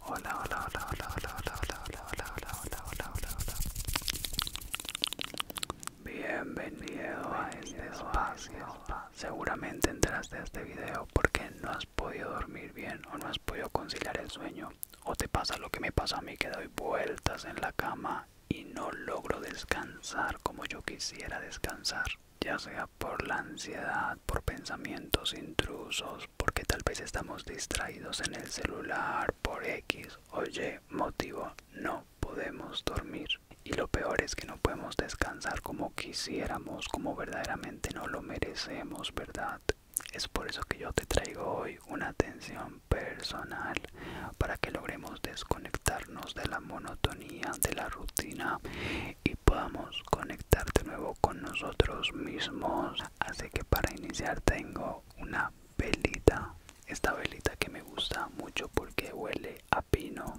Hola, hola, hola, hola, hola, hola, hola, hola, Bienvenido a este espacio. Seguramente entraste a este video porque no has podido dormir bien o no has podido conciliar el sueño. O te pasa lo que me pasa a mí que doy vueltas en la cama y no logro descansar como yo quisiera descansar. Ya sea por la ansiedad, por pensamientos intrusos porque tal vez estamos distraídos en el celular por X o Y motivo, no podemos dormir. Y lo peor es que no podemos descansar como quisiéramos, como verdaderamente no lo merecemos, ¿verdad? Es por eso que yo te traigo hoy una atención personal para que logremos desconectarnos de la monotonía, de la rutina y podamos conectar de nuevo con nosotros mismos así que para iniciar tengo una velita esta velita que me gusta mucho porque huele a pino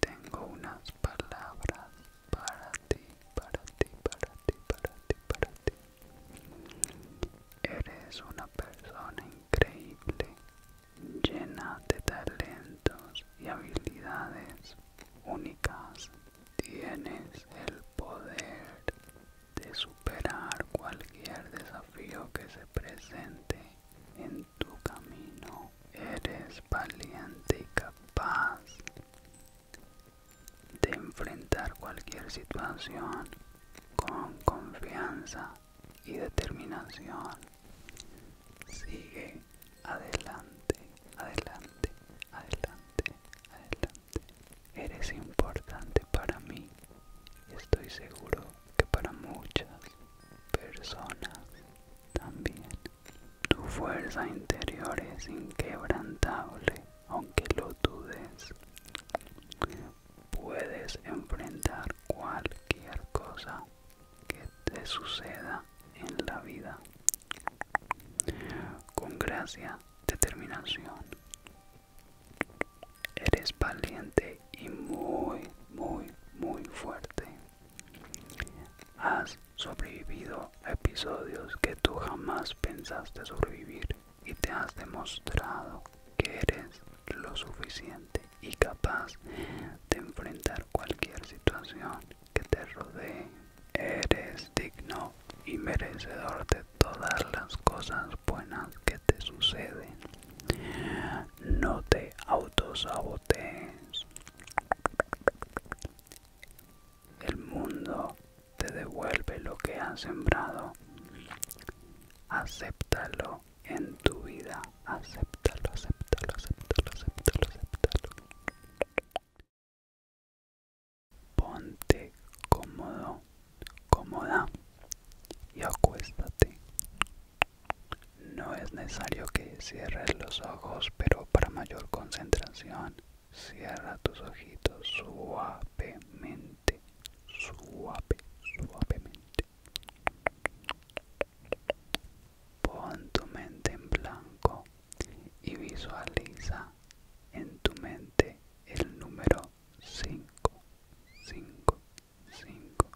tengo unas palabras para ti, para ti, para ti, para ti, para ti. Eres una persona increíble, llena de talentos y habilidades únicas. Tienes el poder de superar cualquier desafío que se presente en tu camino. Eres valiente y capaz de enfrentar cualquier situación con confianza y determinación. Sigue adelante, adelante, adelante, adelante. Eres importante para mí estoy seguro que para muchas personas también. Tu fuerza interior es inquebrantable, aunque lo dudes. Puedes enfrentar cualquier cosa que te suceda en la vida. Con gracia, determinación. Eres valiente y muy, muy, muy fuerte. Has sobrevivido episodios que tú jamás pensaste sobrevivir y te has demostrado que eres lo suficiente y capaz de enfrentar cualquier situación que te rodee. Eres digno y merecedor de todas las cosas buenas que te suceden. No te autosabotees el mundo te devuelve lo que has sembrado. Acéptalo en tu vida. Acéptalo, acéptalo, acéptalo, acéptalo, acéptalo. Ponte cómodo, cómoda y acuéstate. No es necesario que cierres los ojos, pero para mayor concentración Cierra tus ojitos suavemente, suave, suavemente. Pon tu mente en blanco y visualiza en tu mente el número 5, 5, 5,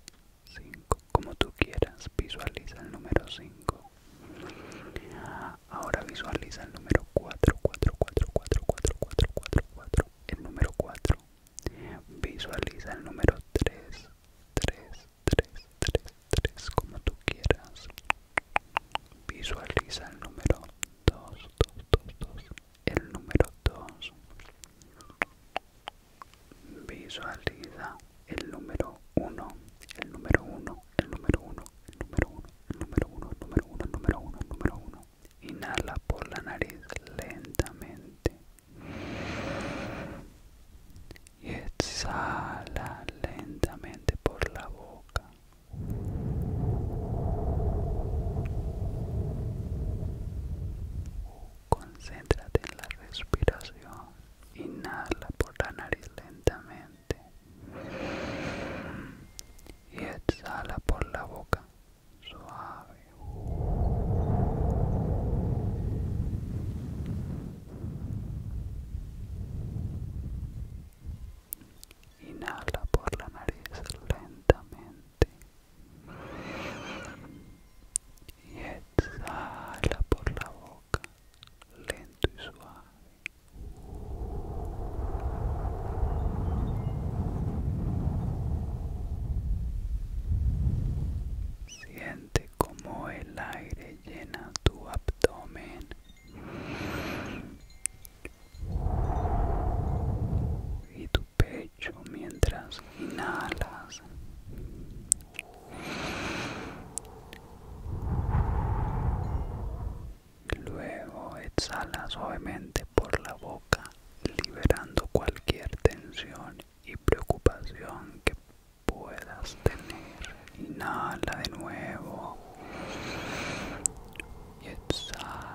5, como tú quieras, visualiza el número 5 ahora visualiza el número 4, 4, 4, 4, 4, 4, 4, 4, el número 4. Visualiza el número 3, 3, 3, 3, 3, como tú quieras. Visualiza el número 2, 2, 2, 2, el número 2. Visualiza el número 1, el número 1, el número uno, el número uno, el número uno, el número uno, el número uno, número uno. Inhala por la nariz lentamente. Y exhala lentamente por la boca. Concéntrate en la respiración. Inhala por la nariz lentamente y exhala por la boca suave inhala por la nariz lentamente y exhala por la boca lento y suave Siente como el aire llena tu abdomen. Y tu pecho mientras inhalas Luego exhala suavemente por la boca, liberando cualquier tensión y preocupación que puedas tener. Inhala de nuevo y exhala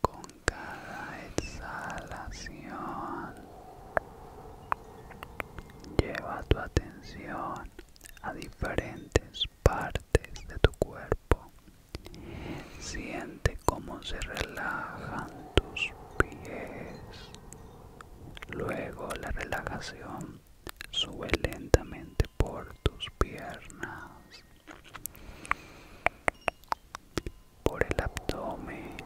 con cada exhalación lleva tu atención a diferentes partes de tu cuerpo siente cómo se relajan tus pies luego la relajación sube lentamente por tus piernas por el abdomen,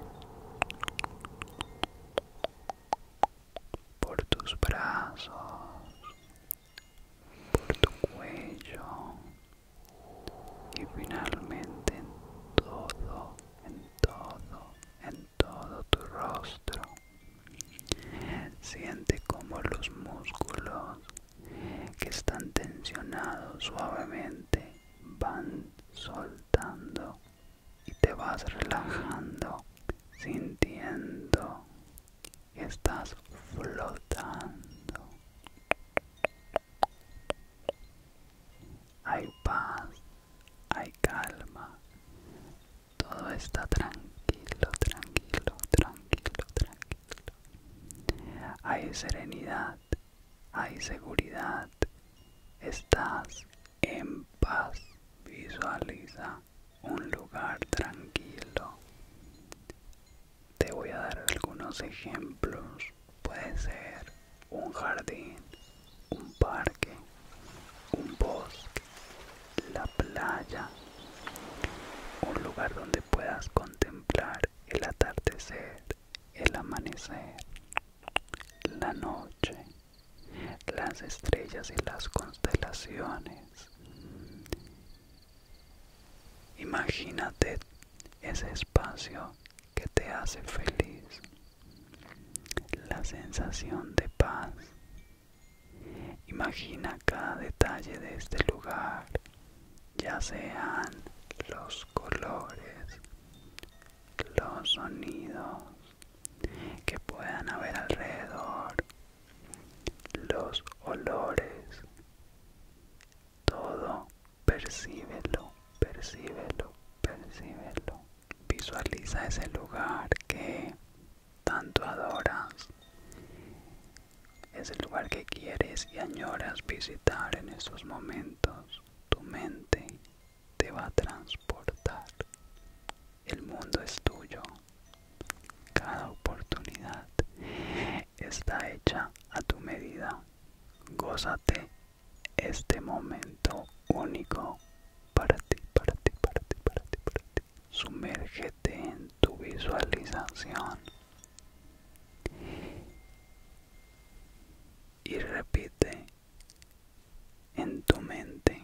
por tus brazos, por tu cuello y finalmente en todo, en todo, en todo tu rostro. Siente como los músculos que están tensionados suavemente van soltando y te vas relajando sintiendo que estás flotando hay paz hay calma todo está tranquilo tranquilo tranquilo tranquilo hay serenidad, hay seguridad, estás en paz. Visualiza un lugar tranquilo. Te voy a dar algunos ejemplos. Puede ser un jardín, un parque, un bosque, la playa, un lugar donde puedas contemplar el atardecer, el amanecer, la noche, las estrellas y las constelaciones. Imagínate ese espacio que te hace feliz, la sensación de paz. Imagina cada detalle de este lugar ya sean los colores, los sonidos que puedan haber alrededor, los olores, todo percíbelo, percíbelo, percíbelo. Visualiza ese lugar que tanto adoras es el lugar que quieres y añoras visitar en estos momentos. Tu mente te va a transportar. El mundo es tuyo. Cada oportunidad está hecha a tu medida. Gózate este momento único para ti, para ti, para para ti, para ti. Sumérgete en tu visualización y repite en tu mente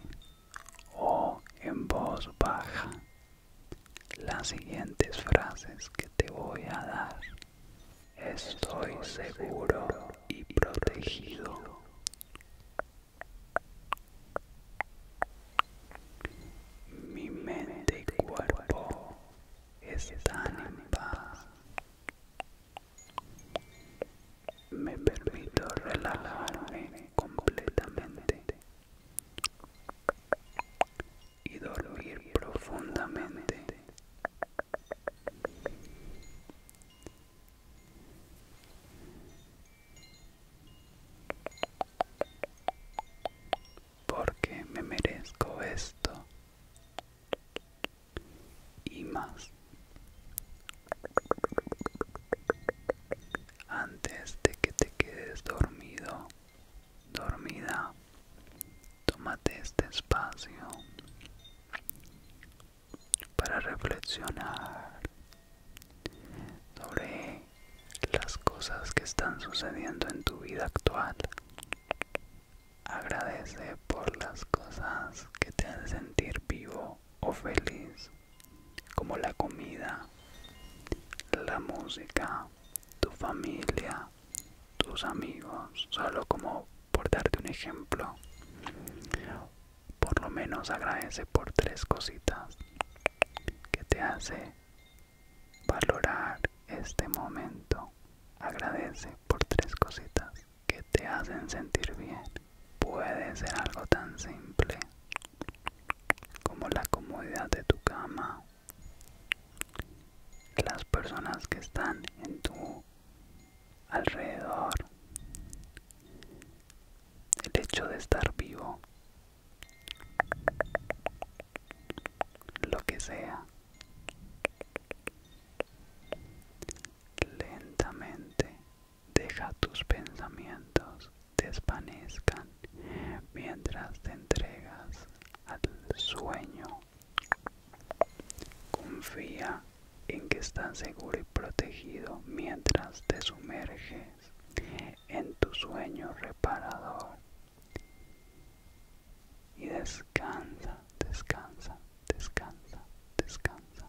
o en voz baja las siguientes frases que te voy a dar. Estoy seguro y protegido. Mi mente y cuerpo están en paz. Me permito relajarme completamente y dormir profundamente porque me merezco esto y más. Antes de que te quedes dormido, dormida, tómate este espacio para reflexionar sobre las cosas que están sucediendo en tu vida actual Agradece por las cosas que te hacen sentir vivo o feliz, como la comida, la música, tu familia, tus amigos, solo como por darte un ejemplo. Por lo menos agradece por tres cositas que te hace Valorar este momento. Agradece por tres cositas que te hacen sentir bien. Puede ser algo tan simple como la comodidad de tu cama, las personas que están en tu alrededor, el hecho de estar vivo, lo que sea. Lentamente deja tus pensamientos desvanezcan mientras te entregas al sueño. Confía en que estás seguro y protegido mientras te sumerges en tu sueño reparador. Y descansa, descansa, descansa, descansa, descansa.